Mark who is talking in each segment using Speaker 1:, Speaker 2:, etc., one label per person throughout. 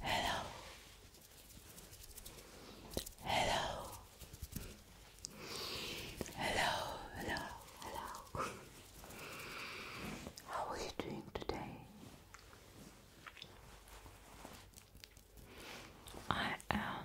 Speaker 1: Hello. Hello. Hello, hello, hello. How are you doing today? I am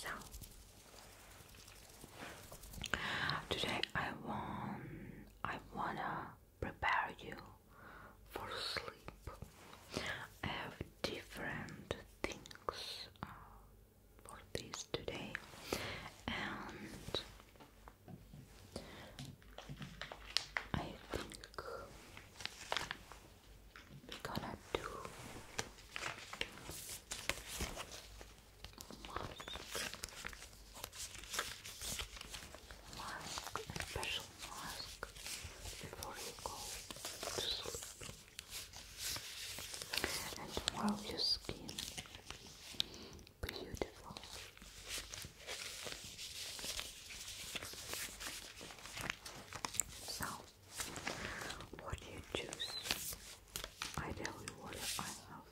Speaker 1: So today I want I wanna prepare you for sleep. I have different things uh, for this today and I think we're gonna do mask, special mask before you go to sleep and wow your skin beautiful so, what do you choose? I tell you what I have.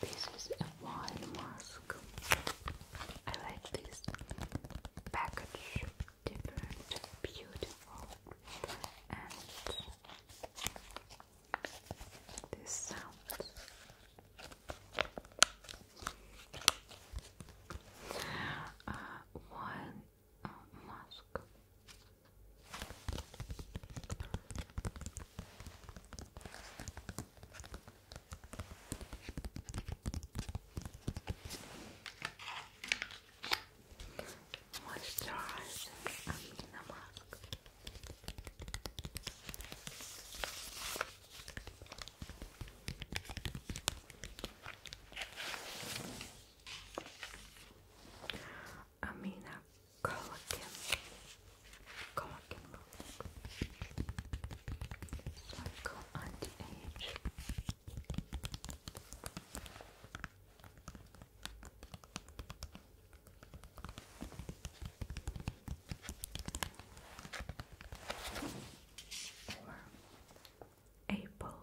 Speaker 1: This is a wine mask. I like this package, different, beautiful, and this sound. Uh, one uh, mask. Moisturizer Amina mask. Amina Colacan Colacan Cycle Anti-Age Apple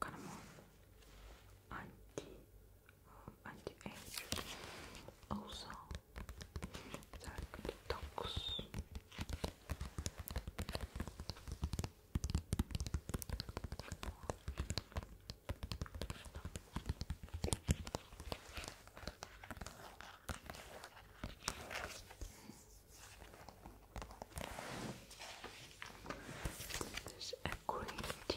Speaker 1: cardamom anti uh, anti age also like detox there's a green tea.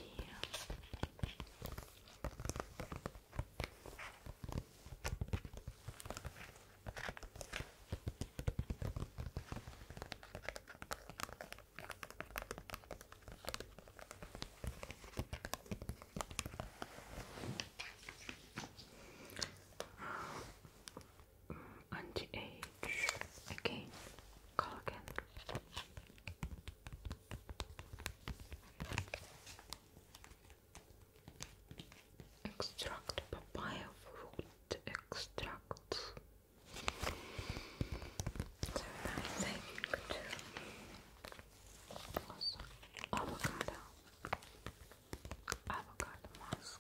Speaker 1: Uh, anti-age again, Extract papaya fruit extract. So nice, I think, also, avocado, avocado mask,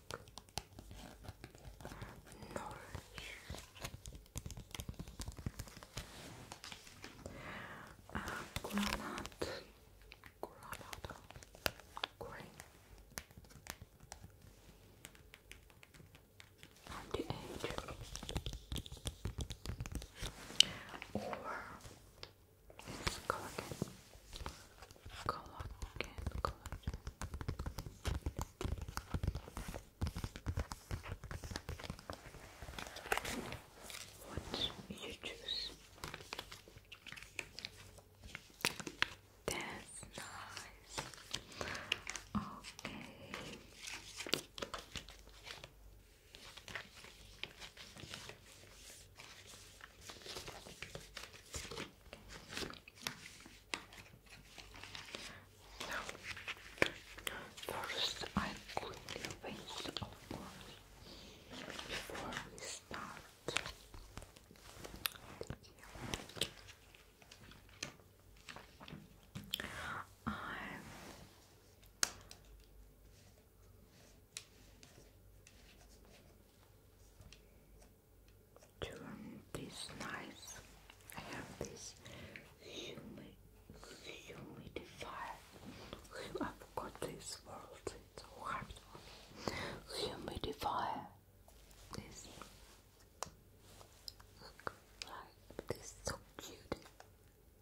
Speaker 1: nourish, uh, granite, and the edge or it's collagen, collagen, collagen. What you choose? That's nice. Okay first I quickly rinse, of course, before we start. I Turn this nice. I have this humid, humidifier. I forgot this word. It's so Humidifier. This. like this. So cute.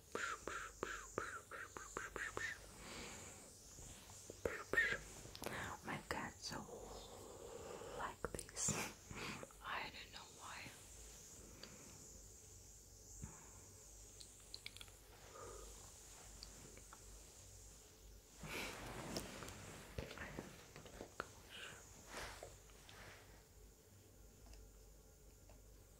Speaker 1: Oh my cats are like this. I don't know why. Okay.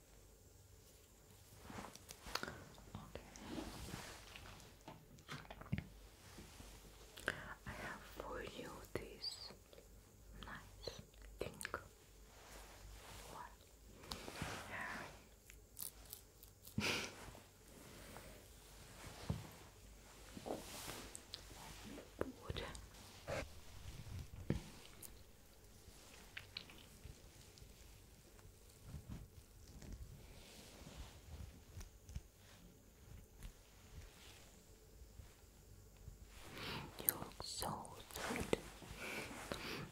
Speaker 1: I have for you this nice thing. What? Yeah. You look so sweet,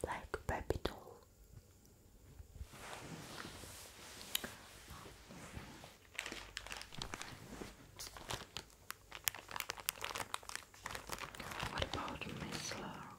Speaker 1: like a baby doll. What about Miss Laura?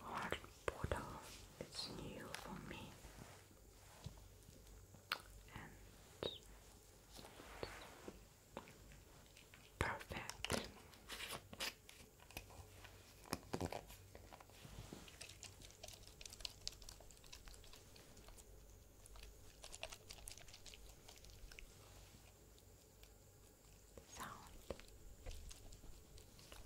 Speaker 1: hard bottle, it's new for me and perfect. Sound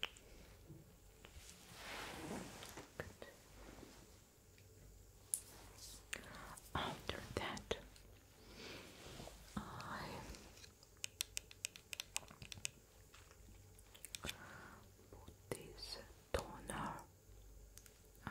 Speaker 1: Good. After that, I put this toner. Uh,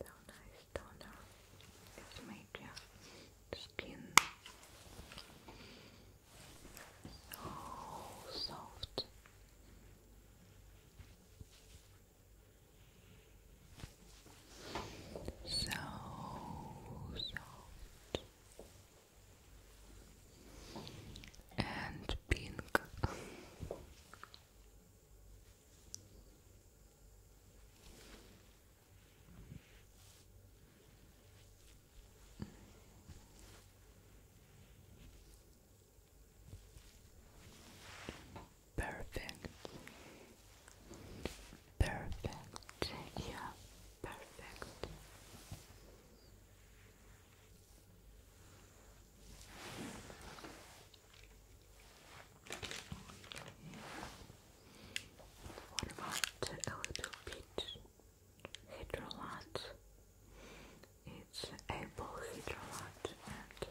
Speaker 1: Downa jest downa. It's maybe skin so oh, soft. So soft and pink perfect, perfect, yeah, perfect. What about a little bit hydrolat? It's apple hydrolat and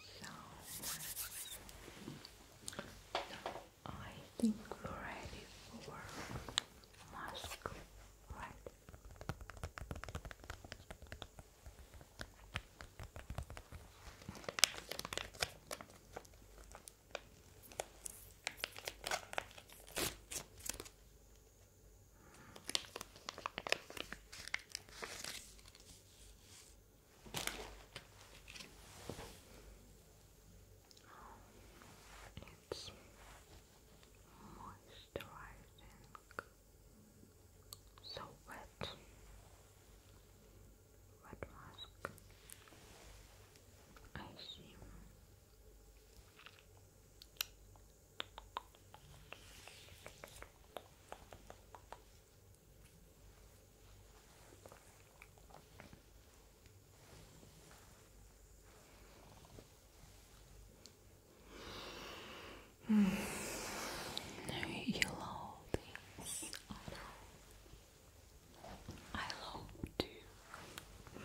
Speaker 1: So I think we're for mask, right? It's moisturizing, so wet, wet mask. I see. Mm. You love this. I know. I too.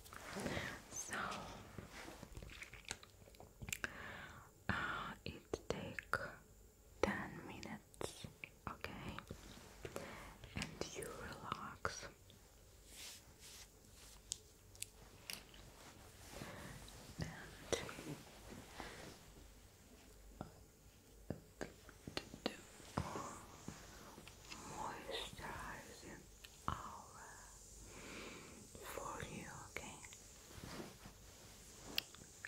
Speaker 1: So uh, it take ten minutes, okay, and you relax. And uh, moisturizing aura for you, okay?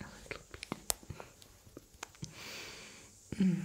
Speaker 1: A little bit. Mm. Okay.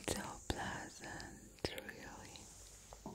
Speaker 1: It's so pleasant, really.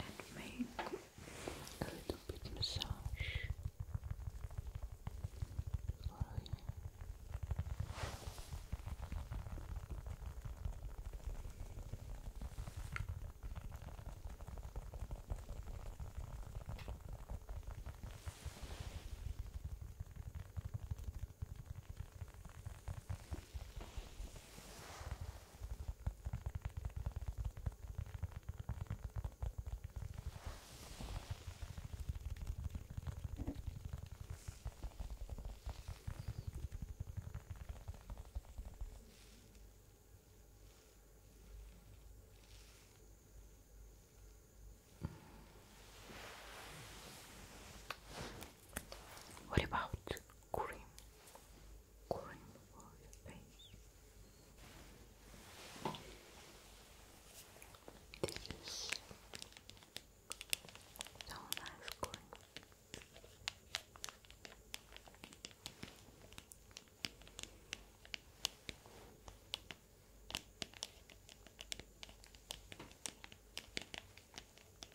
Speaker 1: and make a little bit massage you. What about cream, cream for your face. This is so nice cream.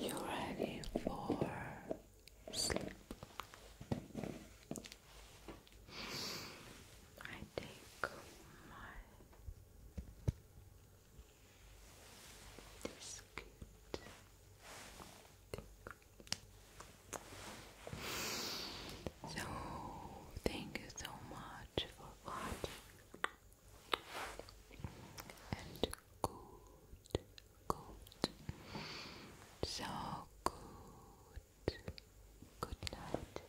Speaker 1: You ready for sleep? I take my biscuit. So thank you so much for watching and good, good, so good, good night